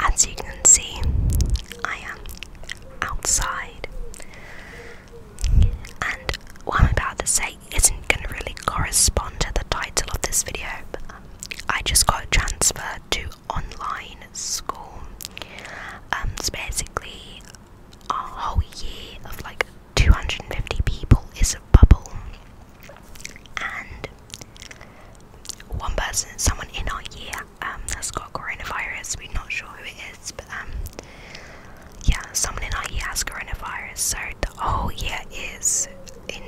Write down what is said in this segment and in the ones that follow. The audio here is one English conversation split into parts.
as you can see, I am outside, and what I'm about to say isn't going to really correspond to the title of this video. Um, I just got transferred to online school. Um, so basically, our whole year of like 250 people is a bubble, and one person, someone in our year, um, has got coronavirus. We're not sure who it is, but um, yeah, someone in our year has coronavirus. So the whole year is in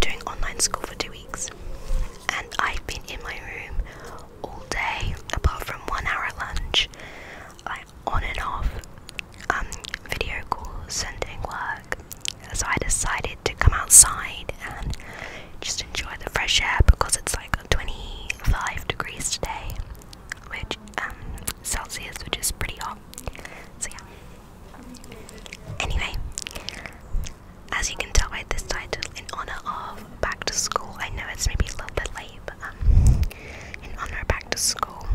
doing online school for two weeks, and I've been in my room all day, apart from one hour lunch, like on and off, um, video calls, sending work. So I decided to come outside and just enjoy the fresh air because it's like 25 degrees today, which um, Celsius, which is pretty hot. So yeah. Anyway, as you can tell by this in honor of back to school, I know it's maybe a little bit late, but um, in honor of back to school,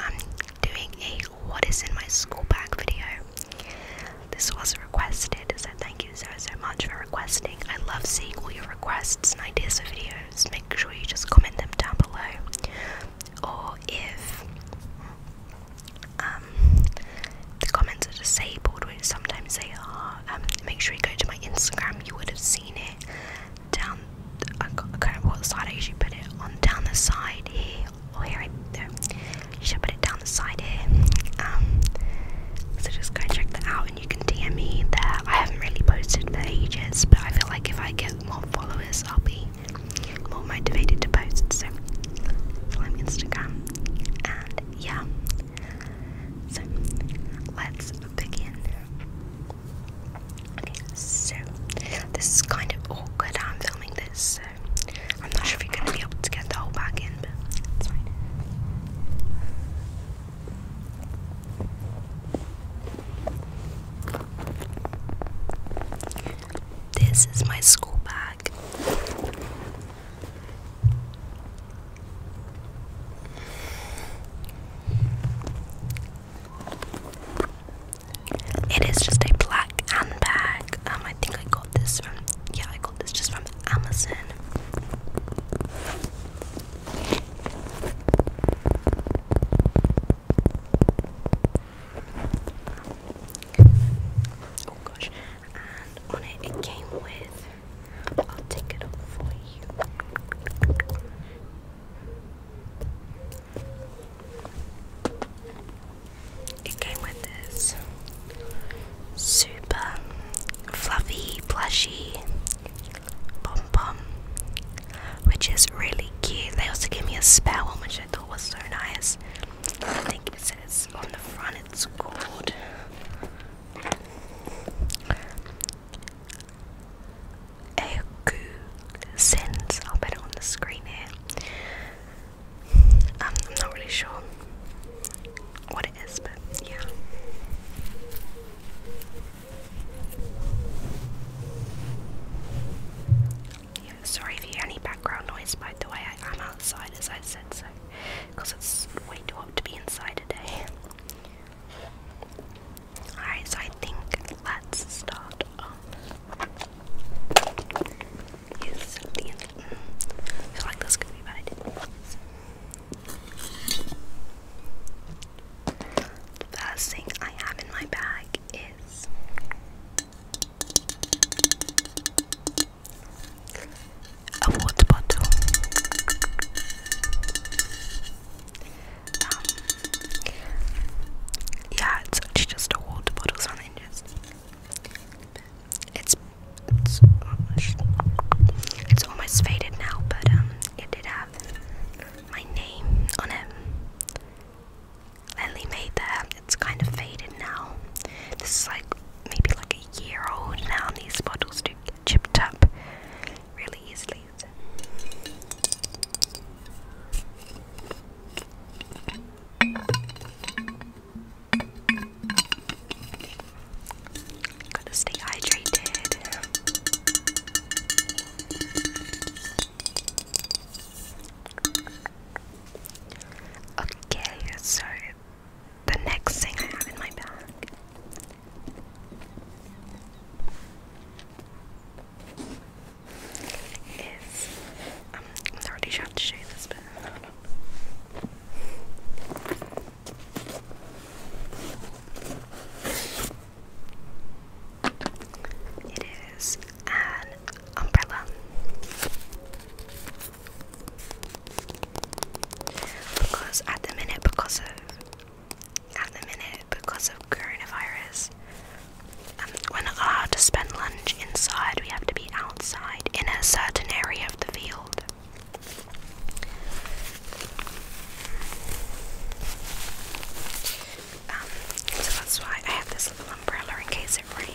I'm doing a what is in my school bag video. This was requested, so thank you so so much for requesting. I love seeing all your requests and ideas for videos. Make sure you just comment them down below, or if um, the comments are disabled, which sometimes they are, um, make sure you go to my Instagram. You would have seen it down. I can't what side I usually put it on. Down the side here oh here I Should put it down the side here. Um, so just go check that out and you can DM me there. I haven't really posted for ages, but I feel like if I get more followers I'll be more motivated to post. So I'm Instagram and yeah. So let's begin. Okay, so this is kind of awkward. I'm filming this, I'm not sure if you're gonna be able to get the whole bag in, but it's fine. This is my school bag. It is just a black handbag. Um, I think I got this from yeah, I got this just from Amazon. Oh gosh, and on it it came with. I'll take it off for you. It came with this super fluffy plushy pom pom, which is really cute. They also gave me a spell, which I thought was so nice. I think it says on the front it's called Eku Sins. i put it on the screen here. Um, I'm not really sure what it is, but yeah. sorry if you hear any background noise, by the way, I am outside as I said so, because it's way too hot to be inside today. Alright, so I think let's start Yes, mm. I feel like this could be better. first thing I have in my bag is a water bottle. Um, yeah, it's just a water bottle, so just it's it's almost it's almost faded now, but um, it did have my name on it. Lily made that. It's kind of faded now. This is like maybe like a year old now. These bottles do get chipped up really easily. Gotta stay hydrated. Okay, so the next thing I have in my bag. Is I'm not really to show this, but it is an umbrella. Because at the minute, because of at the minute, because of coronavirus, um, we're not allowed to spend lunch inside. We have to be out outside in a certain area of the field. Um, so that's why I have this little umbrella in case it rains.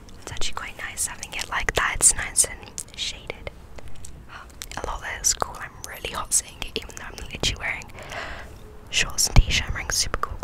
It's actually quite nice having it like that. It's nice and shaded. a lot that is cool. I'm really hot seeing it, even though I'm literally wearing shorts and t-shirt. I'm wearing super cool clothes.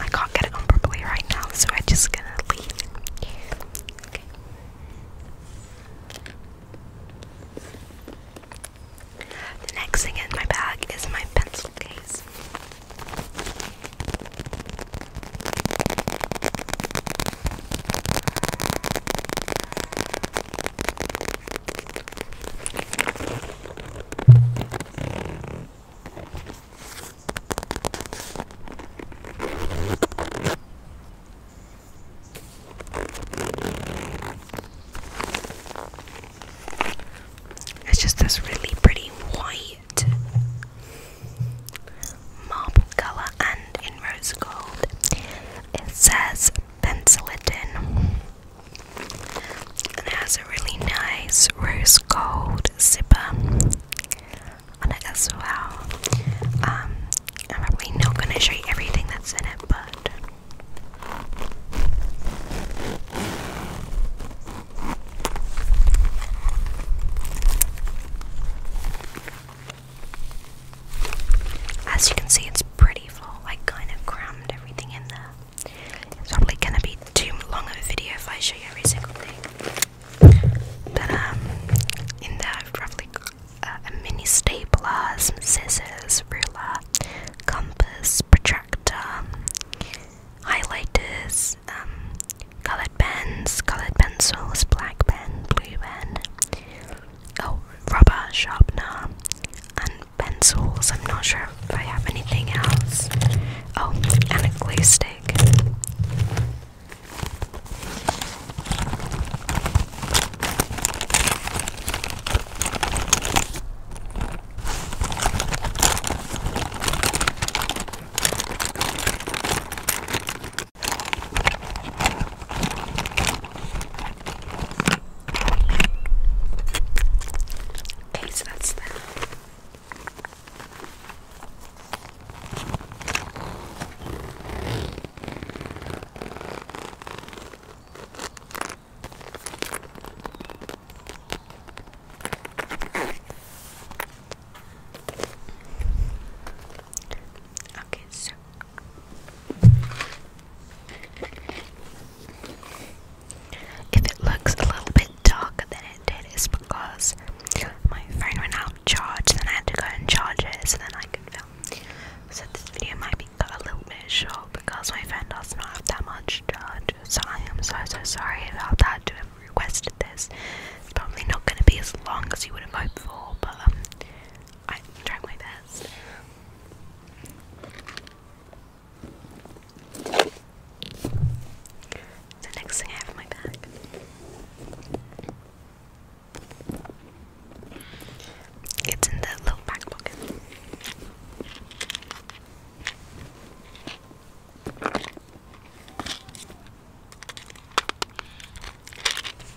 I can't get it on properly right now, so I'm just gonna leave. Okay. The next thing in my bag is my pencil case. It's just this really pretty white marble colour and in rose gold. It says pencil it in. And it has a really nice rose gold zipper on as well. Um, I'm probably not going to show you everything that's in it, but. As you can see, it's pretty full, like kind of crammed everything in there. It's probably gonna be too long of a video if I show you every single thing. But um, in there i a mini stapler, scissors, ruler, compass, protractor, highlighters, um, coloured pens, coloured pencils, black pen, blue pen, oh, rubber sharpener, and pencils. I'm not sure if I have anything else. Oh, and a glue stick. Okay, so that's that. Okay, so if it looks a little bit darker than it did, it's because my phone went out of charge, then I had to go and charge it so then I could film. So this video might be a little bit short because my phone does not have that much charge. So I am so so sorry about that to have requested this. It's probably not going to be as long as you would have hoped for, but um, I'm trying my best. The next thing I have in my bag it's in the little back pocket.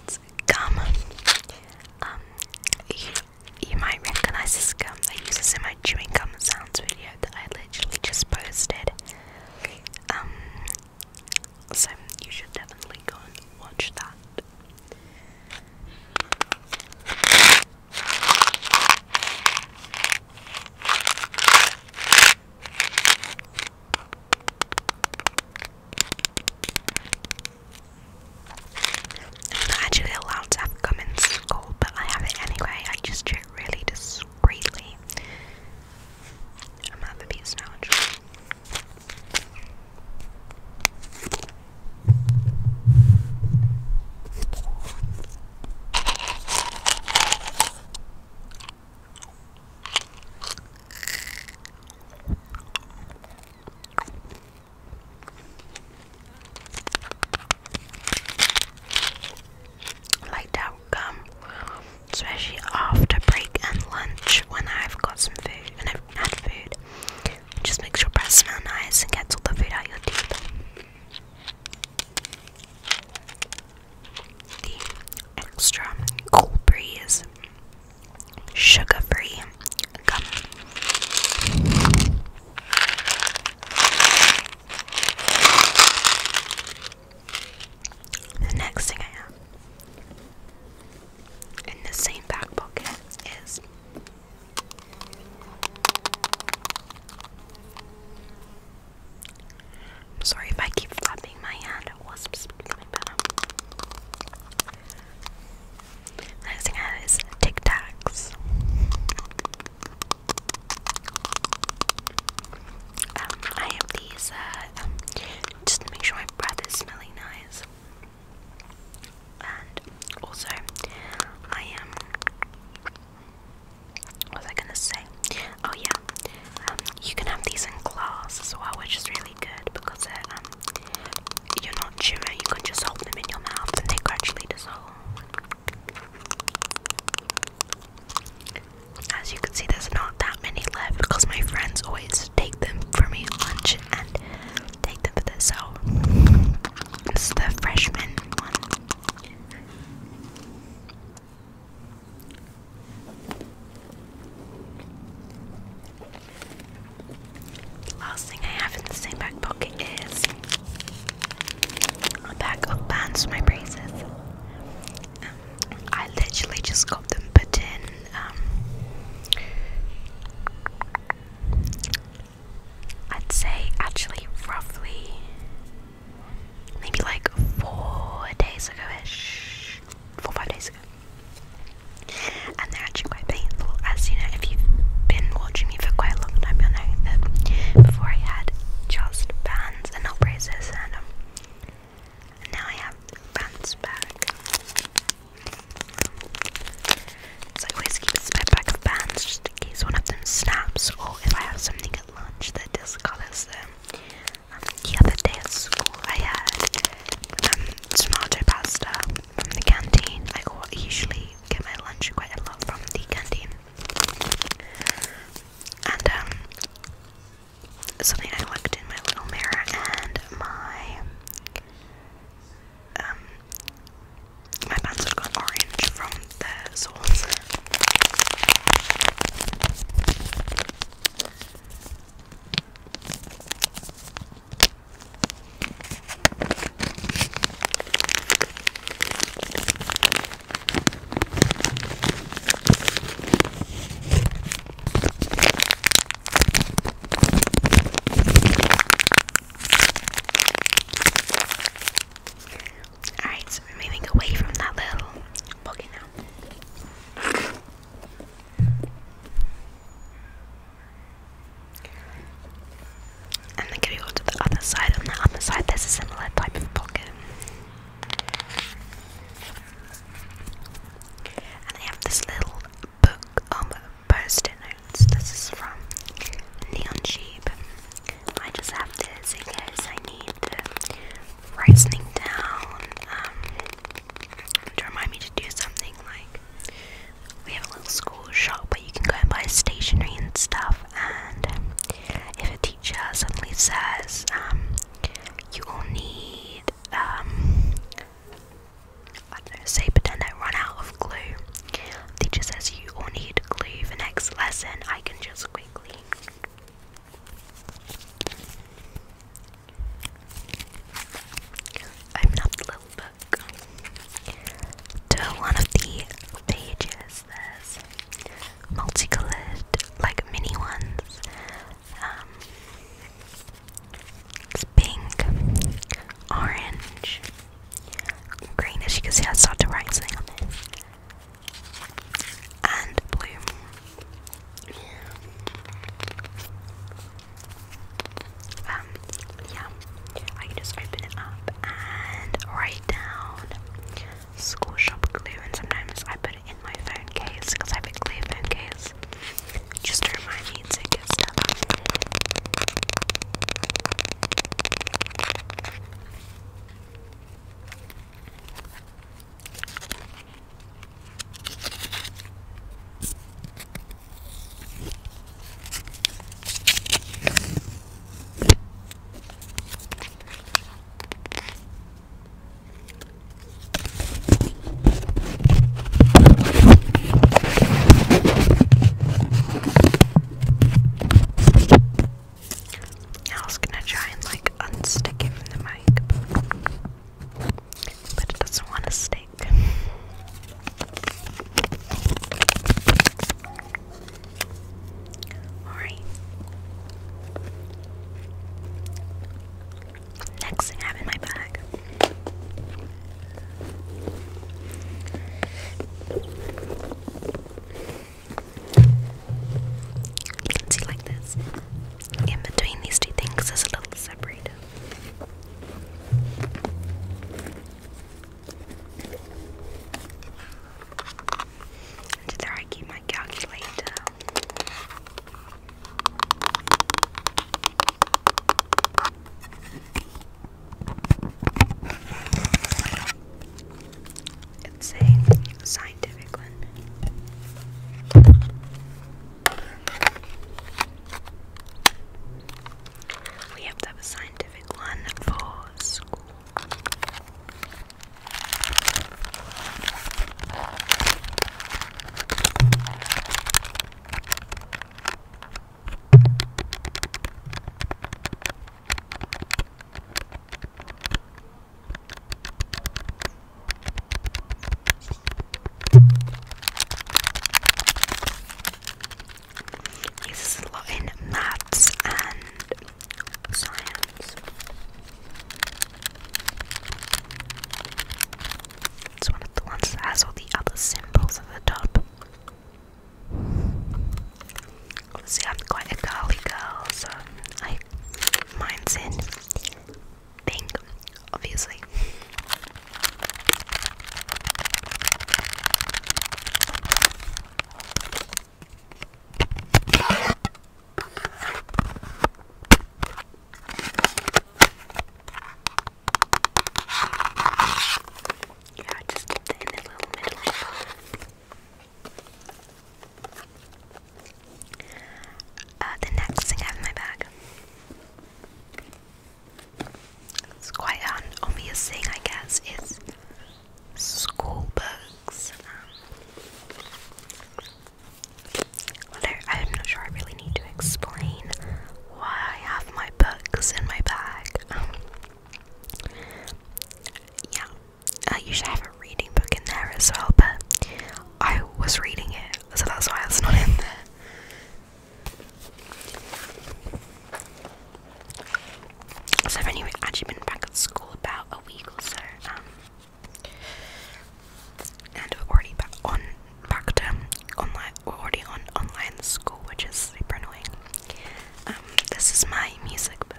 It's gum. Um, you might recognize this gum I use this in my chewing gum sounds video that I literally just posted. Um, so you should definitely go and watch that. I'm not actually allowed to have gum in school, but I have it anyway. I just do it really discreetly. I'm at the piece now, like that gum, especially after break and lunch when I've got some food and I've had food. Just makes your breath smell nice and gets all the food out your teeth. The extra cold breeze, sugar free gum. The next thing I have in the same back pocket is sorry if I keep flapping my hand at wasps my bad next thing I had is Tic Tacs. Um, I have these uh, um, just make sure my breath is smelling nice. And also, I am. what was I gonna say? Oh yeah, um, you can have these in class as well, which is really good because you're not chewing, you can just hold them in your mouth and they gradually dissolve. As you can see, there's not that many left because my friends always take them for me lunch and take them for this. So It's the freshman one. Last thing I have in the same back pocket is a pack of bands for my braces. Um, I literally just got them put in. Um, I'd say actually roughly maybe like four days ago ish. Four, five days ago and they're actually quite painful. As you know, if you've been watching me for quite a long time, you'll know that before I had just bands and not um, and, now I have bands back. So I always keep a spare pack of bands just in case one of them snaps, or if I have something at lunch that discolors them. Um, the other day at school, I had um, tomato pasta from the canteen. I usually get my lunch quite a lot from the canteen. And um, something I looked in my little mirror and my um my pants have got orange from the soles. Alright, so we're moving away from that little bucket now. And then going on to the other side, on the other side there's a similar type of pocket. And they have this little book of post-it notes. This is from Neon Sheep. I just have this in case I need to write something down um, to remind me to do something like we have a little school shop where you can go and buy stationery and stuff. And if a teacher suddenly says, um, you will need, um, I don't know, say pretend I run out of glue. The teacher says you will need glue for next lesson. I can just quickly open up the little to one of the pages, there's multicolored, like mini ones. Um, it's pink, orange, green. As you can see, I started to write something on it, and blue. Um, yeah, I just open it up and write down school shop glue, and sometimes I put it in my phone case because I have a glue phone case just to remind me to get stuff. I was gonna try and like unstick it from the mic, but it doesn't want to stay topic. Alright. Next thing in my bag you can see like this. In between these two things is a little separator. It's there I keep my calculator. It's a scientific one. We have to have a scientific scientific one for school uses a lot in maths and science. It's one of the ones that has all the other symbols at the top. Obviously, quite a girly girl, so I mine's in pink, obviously. Yeah, just in the little middle. Uh, the next thing I have in my bag it's quite an obvious thing, I guess, is school books. I'm not sure I really need to explain why I have my books in my bag. yeah, I usually have a reading book in there as well, but I was reading it, so that's why it's not in there. So I've actually been back at school about a week or so, um, and we're already back on back to online. We're already on online school, which is super annoying. Um, this is my music book.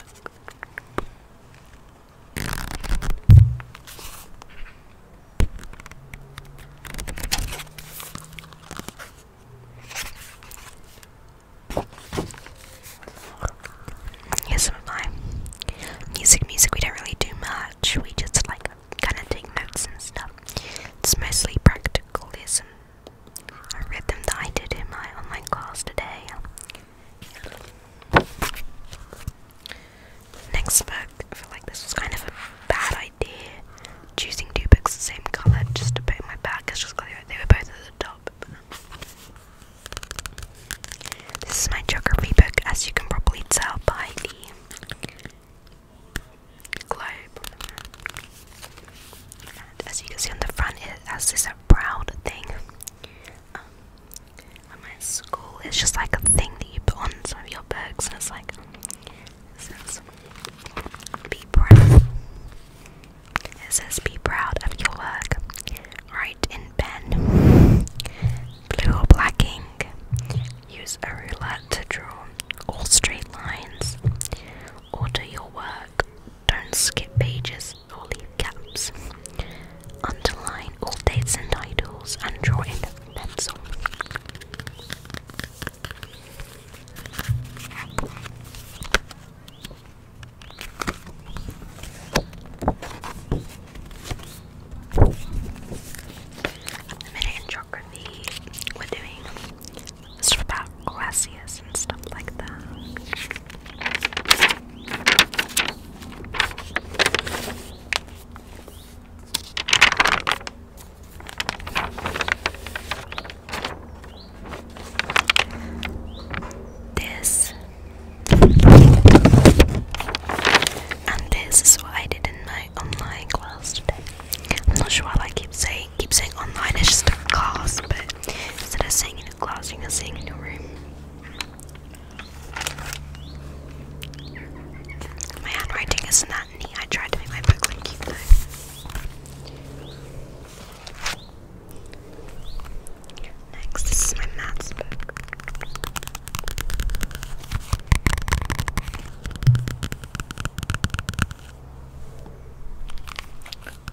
Yes, I'm Music, music, we don't really do much. We just like kind of take notes and stuff. It's mostly practicalism. read them that I did in my online class today. Next book, I feel like this was kind of a bad idea idea choosing two books the same colour just to put in my bag because just they were both at the top. This is my geography book, as you can probably tell by the globe. as you can see on the front, it has this proud thing. Um, my school, it's just like a thing that you put on some of your books, and it's like it says, be proud. It says, be proud of your work. Write in pen, blue or black ink. Use a ruler to draw all straight lines. Order your work. Don't skip pages or leave gaps. Underline all dates and titles and draw in pencil. The minute in geography we're doing stuff about glaciers and stuff like that. This and this is what I did in my online class today. I'm not sure why I keep saying keep saying online, it's just a class, but instead of saying in a class, you can sing in your room. My handwriting isn't I tried to make my book Next, this is my maths book.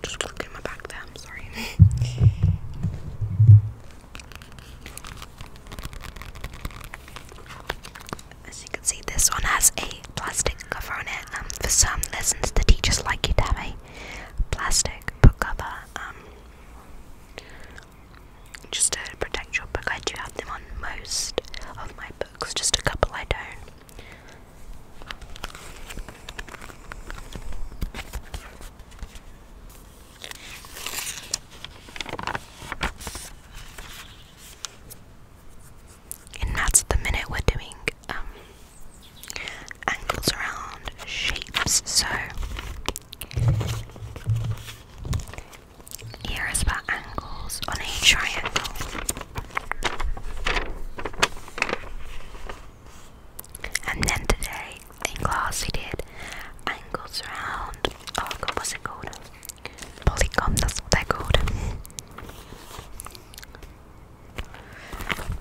Just clicking my back there, sorry. As you can see, this one has a plastic cover on it. Um, for some lessons, the teachers like you to have a plastic book cover, um, just to protect your book. I do have them on most of my books, just a couple I don't and that's the minute we're doing um, angles around shapes. So here is about angles on a triangle. And then today in class he did angles around oh god what's Polycom, that's what they're called.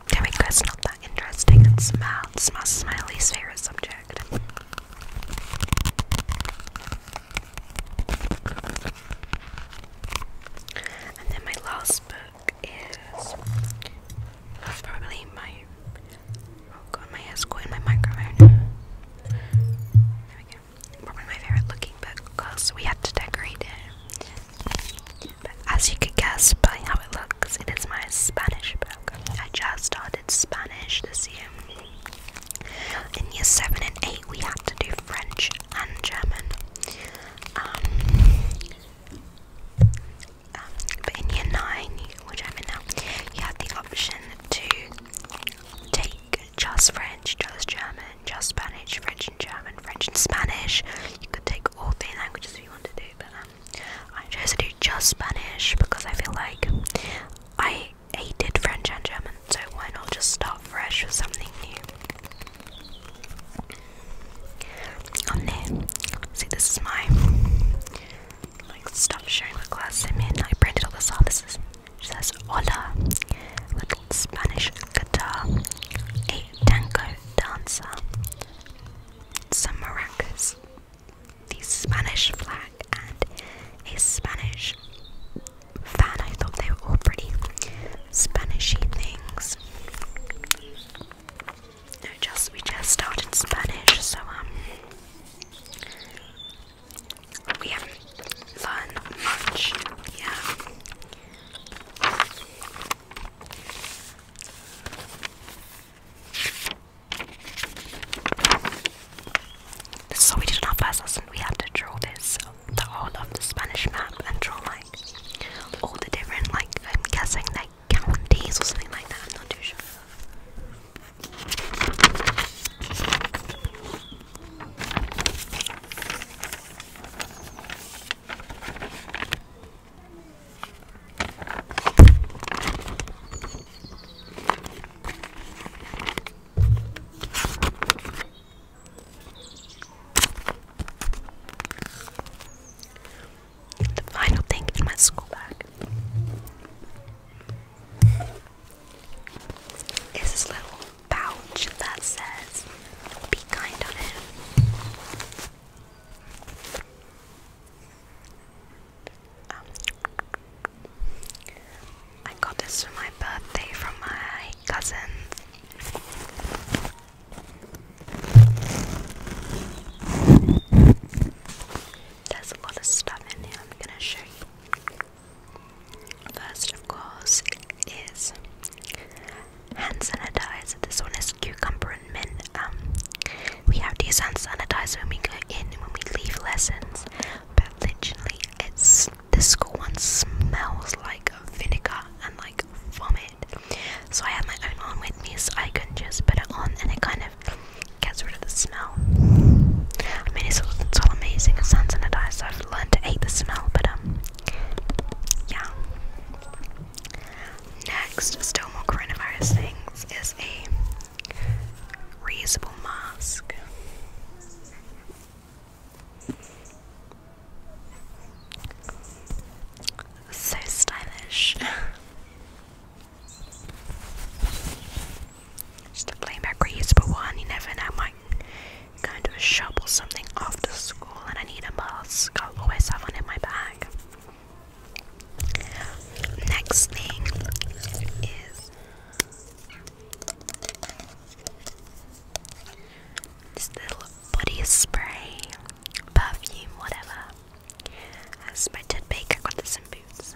There we not that interesting. And smell, smells is my least favourite subject. And then my last book is probably my. Oh god, my hair's caught my microphone. Probably my favorite looking book we had to decorate it. as you could guess by how it looks, it is my Spanish book. I just started Spanish this year. In year 7 and 8, we had to do French and German. um, um but in year 9, which I'm in now, you had the option to take just French, just German, just Spanish, French and German, French and Spanish. You could take all three languages if you wanted to but um, I chose to do just Spanish because I feel like I hated French and German, so why not just start fresh with something new? On there, see this is my like stuff showing the class I'm I printed all this out. She says hola, little Spanish guitar, a tango dancer, some maracas, the Spanish flag, and a Spanish fan. I thought they were all pretty Spanishy things. No, just we just started Spanish, so um, we have fun much. Yeah. So we did our first lesson. We had to draw this, whole of the Spanish map, and draw like all the different, like I'm guessing like counties or something like that. I'm not too sure. The final thing in my school bag is this little pouch that says be kind on it. Um, I got this for my birthday from my cousin. There's a lot of stuff in here, I'm gonna show you. First, of course, is hand sanitizer. This one is cucumber and mint. Um, we have to use hand sanitizer when we go in and when we leave lessons, but literally, it's the school one smells like vinegar and like vomit. So I have my own on with me, so I can just put it on, and it kind of gets rid of the smell. I mean, it's all, it's all amazing. It sounds sanitizer i to hate the smell, but um, yeah. Next, still more coronavirus things, is a reusable mask. So stylish. Just a plain back reusable one, you never know, might going to shovel something after school and I need a mask. I'll always have one in my bag. Next thing is this little body spray, perfume, whatever. As my teddy bear I got this in boots.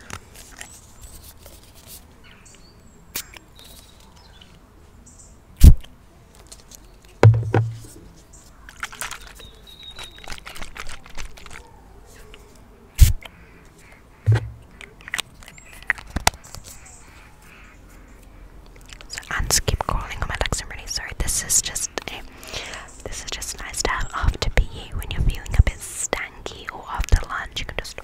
So ants I'm really sorry. This is just this is just nice to have after PE when you're feeling a bit stanky or after lunch. You can just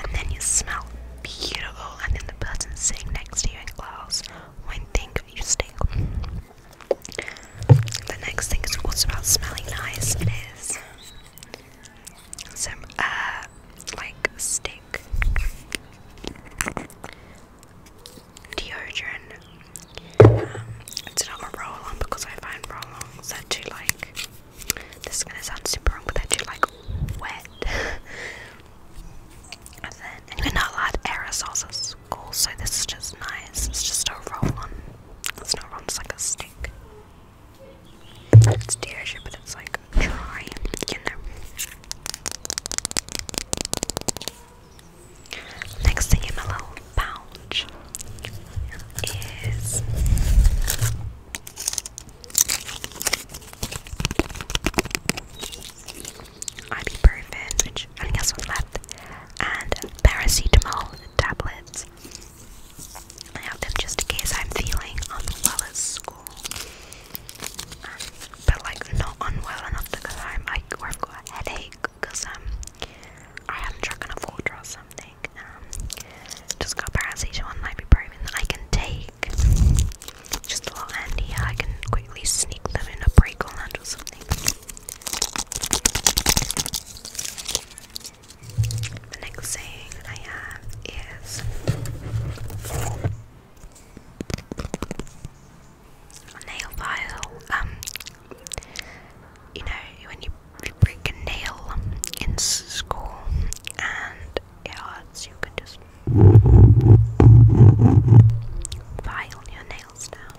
and then you smell beautiful, and then the person sitting next to you in class won't think you stink. The next thing is also about smelling nice is some uh, like stick deodorant. Um, it's not a roll on because I find roll ons are too like this is gonna sound super wrong, but actually like wet. and then, and we're not aerosols at school, so this is just nice. It's just a roll on. It's not roll, it's like a stick. It's deodorant, but it's like dry, you know. Next thing in my little pouch is ibuprofen, which only has one left, and paracetamol tablets. I have them just in case I'm feeling unwell at school, um, but like not unwell enough to go home, like, I've got a headache because um, I haven't drunk enough water or something like, um, just got paracetamol and ibuprofen that I can take. Just a lot handier, I can quickly sneak them in a break or lunch or The next thing I have is a nail file. Um, you know, when you if you break a nail in school and it hurts, you can just file your nails down.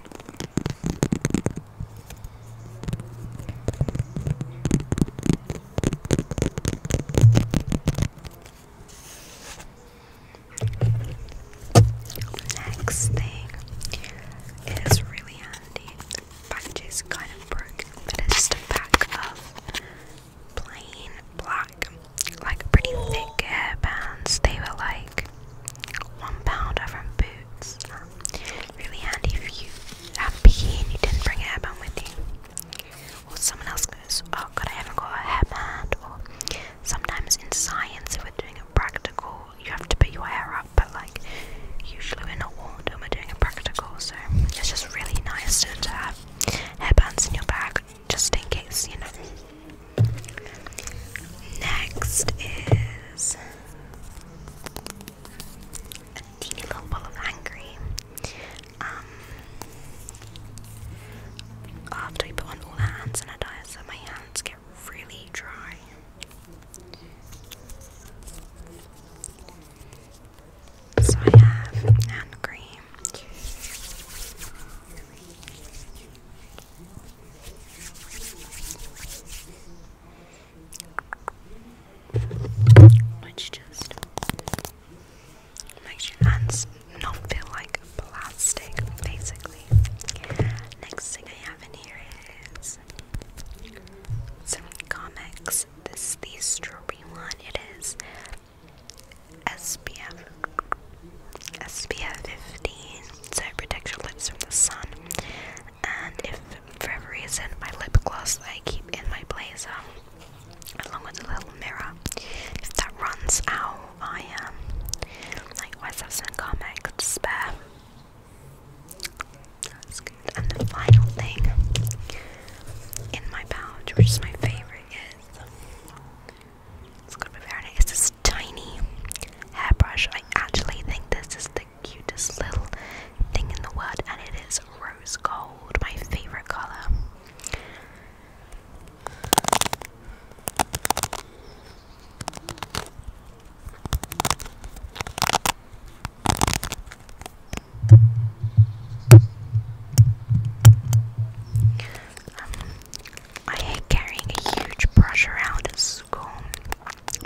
Next thing is really handy packages kind of broke, but it's just a pack of plain black, like pretty thick hairbands. They were like one pound pounder from Boots. Um, really handy if you have bikini and you didn't bring a hairband with you. Or someone else goes, Oh god, I haven't got a hairband. Or sometimes in science, if we're doing a practical, you have to put your hair up, usually we're not warned when we're doing a practical, so it's just really nice to, to have hairbands in your bag just in case, you know. Next is a teeny little ball of hand um, after I put on all the hands and hand sanitizer, my hands get really dry. So I have hand cream. Which just makes your hands not feel like plastic, basically. Next thing I have in here is some comics is this the strawberry one? It is SPF SPF 15, so it protects your lips from the sun. And if for every reason my lip gloss that I keep in my blazer, along with a little mirror, if that runs out, I um, like always have some Comex to spare. And the final thing in my pouch, which is my favorite, is it's going this tiny hairbrush. I actually think this is the cutest little thing in the world, and it is rose gold, my favorite color. Um, I hate carrying a huge brush around school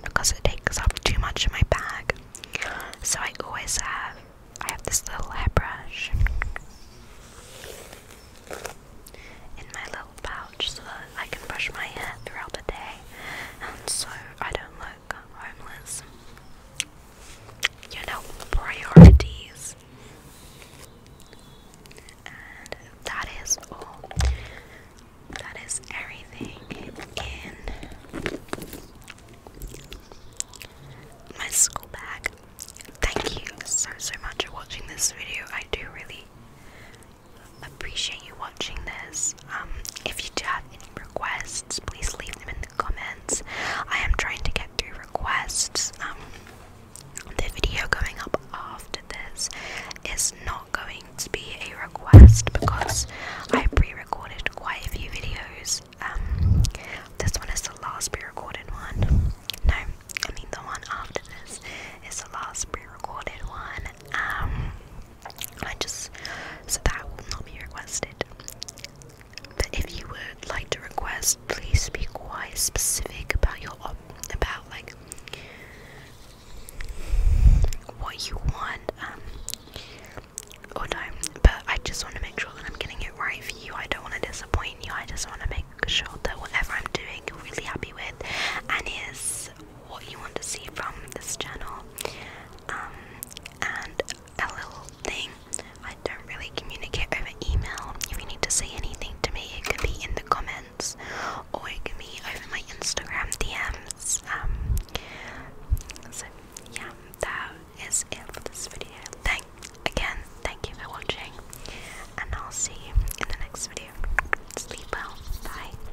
because it takes up too much of my bag. So I always have I have this little hairbrush in my little pouch so that I can brush my hair throughout the day and so I don't load homeless. You know, priorities. And that is all. That is everything in my school Thank you so, so much for watching this video. I do really appreciate you watching this. Um, if you do have any requests, please leave them in the comments. I am trying to get through requests. Um, the video going up after this is not going to be a request because I pre-recorded quite a few videos. Um, this one is the last pre-recorded one. No, I mean the one after this is the last pre-recorded one. Um, I just so that will not be requested. But if you would like to request, please be quite specific about your about like what you want. Um, or no, but I just want to make sure that I'm getting it right for you. I don't want to disappoint you. I just want to make sure that whatever I'm doing, you're really happy with, and is what you want to see from this channel um, and a little thing. I don't really communicate over email. If you need to say anything to me, it can be in the comments or it can be over my Instagram DMs. Um, so, yeah, that is it for this video. Thank again, thank you for watching, and I'll see you in the next video. Sleep well, bye.